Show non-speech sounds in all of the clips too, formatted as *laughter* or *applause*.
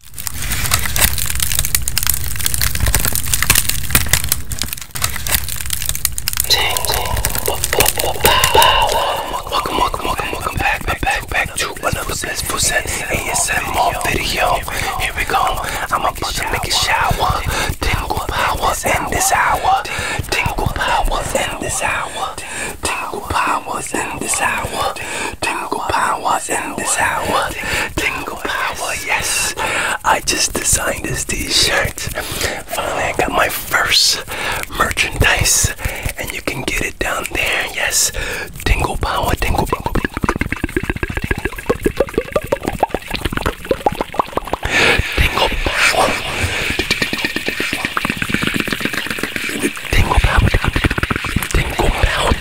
Welcome, welcome, welcome, welcome back, back, back, back to another blissful set ASM more video. Here we go. I'm about to make a shower. Tingle power in this hour. Tingle power in this hour. Tingle power in this hour. Tingle power power in this hour. Tingle power, yes. I just designed this t-shirt. Finally, I got my first merchandise, and you can get it down there. Yes, tingle power, tingle power. Tingle power. Tingle power. Tingle power.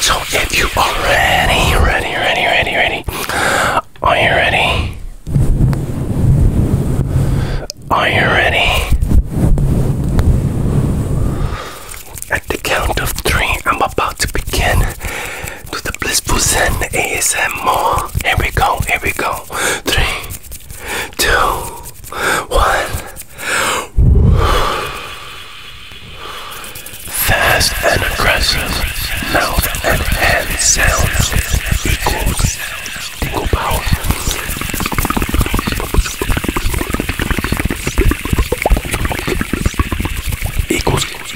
So if you are ready, ready, ready, ready, ready. Are you ready? Are you ready? At the count of three, I'm about to begin to the blissful zen ASMR. Here we go, here we go. Three, two, one. Fast and aggressive mouth and hands. sounds equals power. Equals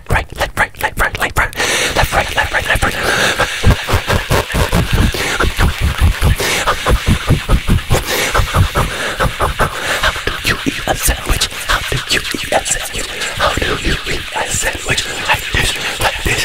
left, right, left, right, left, right, left, right, left, right, left, right, left, right. How do you eat a sandwich? How do you eat a sandwich? How do you eat a sandwich? Like this, like this.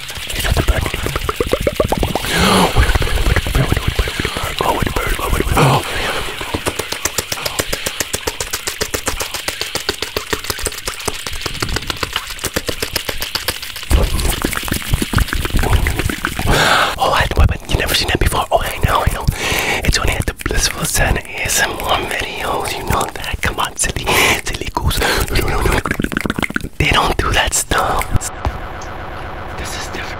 Oh, I had the oh, know, I know. It's only at the Blissful Sun ASMR videos. You know that. Come on come on, silly, silly goose. They don't do that stuff. This is different.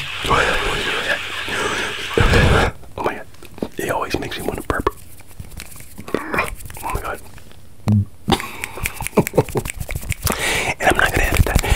Oh my god. It always makes me want to burp. Oh my god. and I'm not gonna edit that.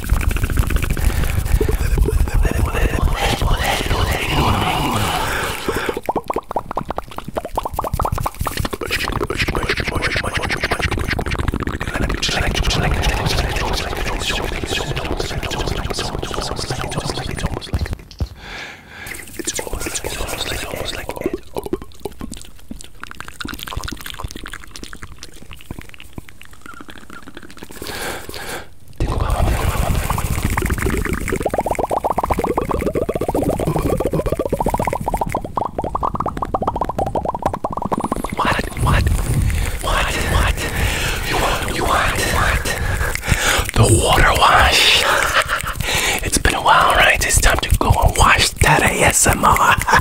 It's almost like it's almost like almost like it. What? What? What? What? You want? You want? What? The water wash. *laughs* it's been a while, right? It's time to go and wash that ASMR.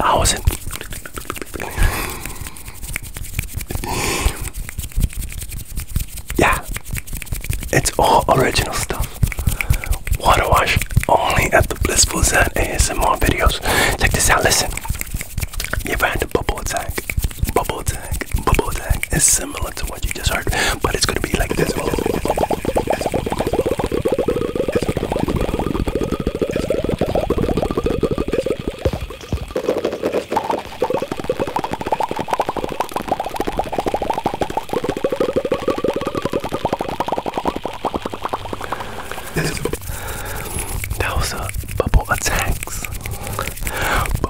I yeah, it's all original stuff. Water wash only at the Blissful Zen ASMR videos. Check this out. Listen, you ever had bubble attack? Bubble attack. Bubble attack is similar to what you just heard, but it's gonna be like this. That was a bubble attacks.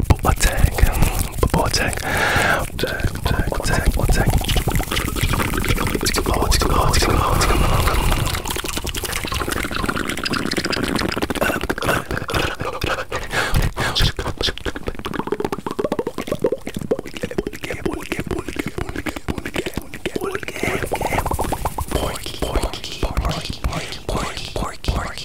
Bubble attack. Bubble attack. Tag, tag, tag, tag. Oh, it's glow, it's glow, it's glow. Porky, porky, porky, porky.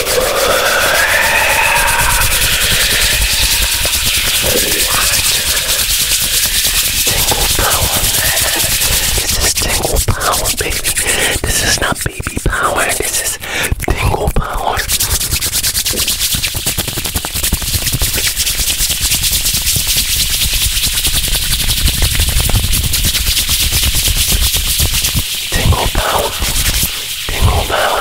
Tingle power. This is tingle power, baby. This is not baby power. This is tingle power. Tingle power. Tingle power.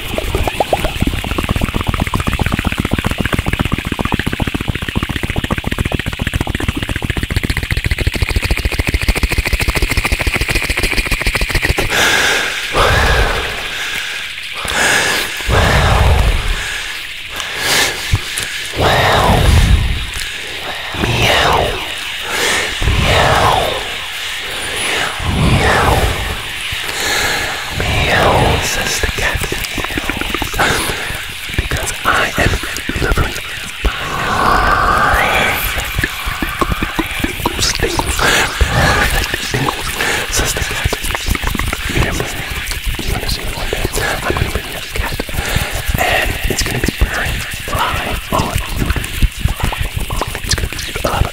Meow. Meow. Meow. Meow, says the cat. Because I am delivering perfect tingles. Perfect tingles, says the cat. You hear me? You're gonna see me one day. I'm gonna bring you a cat. And it's gonna be very live on YouTube. It's gonna be a lot of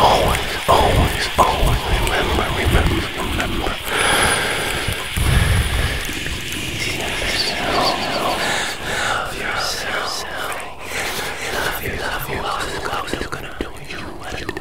Always, always, always remember, remember, remember. Easy Love yourself. Love yourself. Love yourself. Love yourself. Love yourself. Love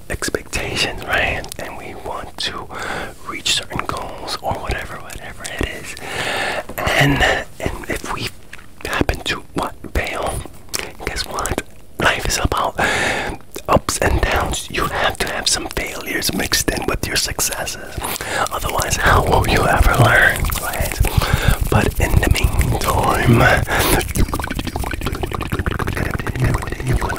expectations, right? And we want to reach certain goals or whatever, whatever it is. And and if we happen to what fail, guess what? Life is about ups and downs. You have to have some failures mixed in with your successes. Otherwise, how will you ever learn, right? But in the meantime,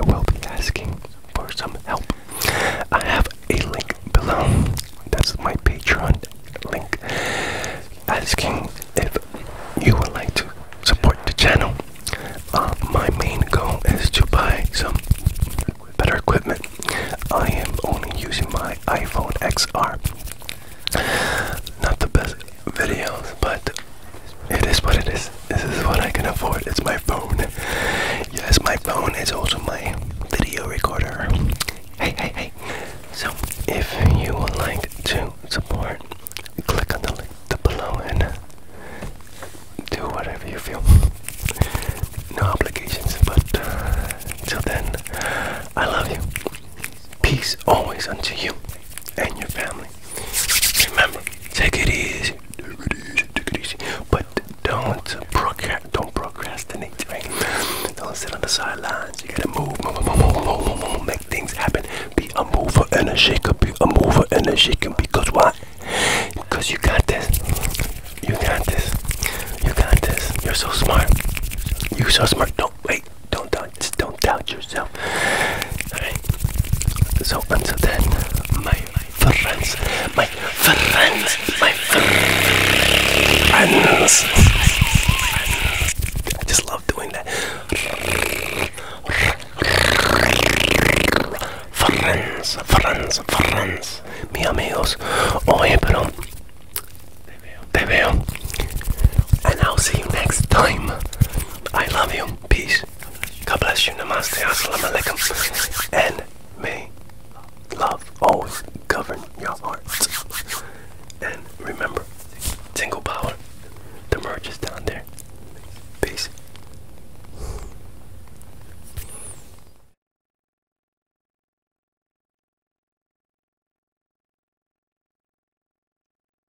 I will be asking for some help. I have a link below. That's my Patreon link. Asking if you would like to support the channel. Uh, my main goal is to buy some better equipment. I am only using my iPhone XR. Not the best videos, but it is what it is. This is what I can afford. It's my phone. Yes, my phone is also my video recorder. Hey, hey, hey. So, if you would like to support, click on the link below and do whatever you feel. No obligations, but uh, till then, I love you. Peace always unto you and your family. Remember, take it easy, take it easy, take it easy. But don't procrast don't procrastinate, right? Don't sit on the sidelines. You gotta move, move, move, move, move, move, move, make things happen. Be a mover and a shaker, be a mover and a shaker. Because why? Because you got this. You got this. You got this. You're so smart. You're so smart. Don't wait. Don't die. Just don't doubt yourself. So until then, my friends, my friends, my friends. I just love doing that. Friends, friends, friends, mis amigos. Oye, pero te veo. And I'll see you next time. I love you. Peace. God bless you. Namaste. Assalamu alaikum. And may love always govern your heart. And remember, tingle power. The merge is down there. Peace.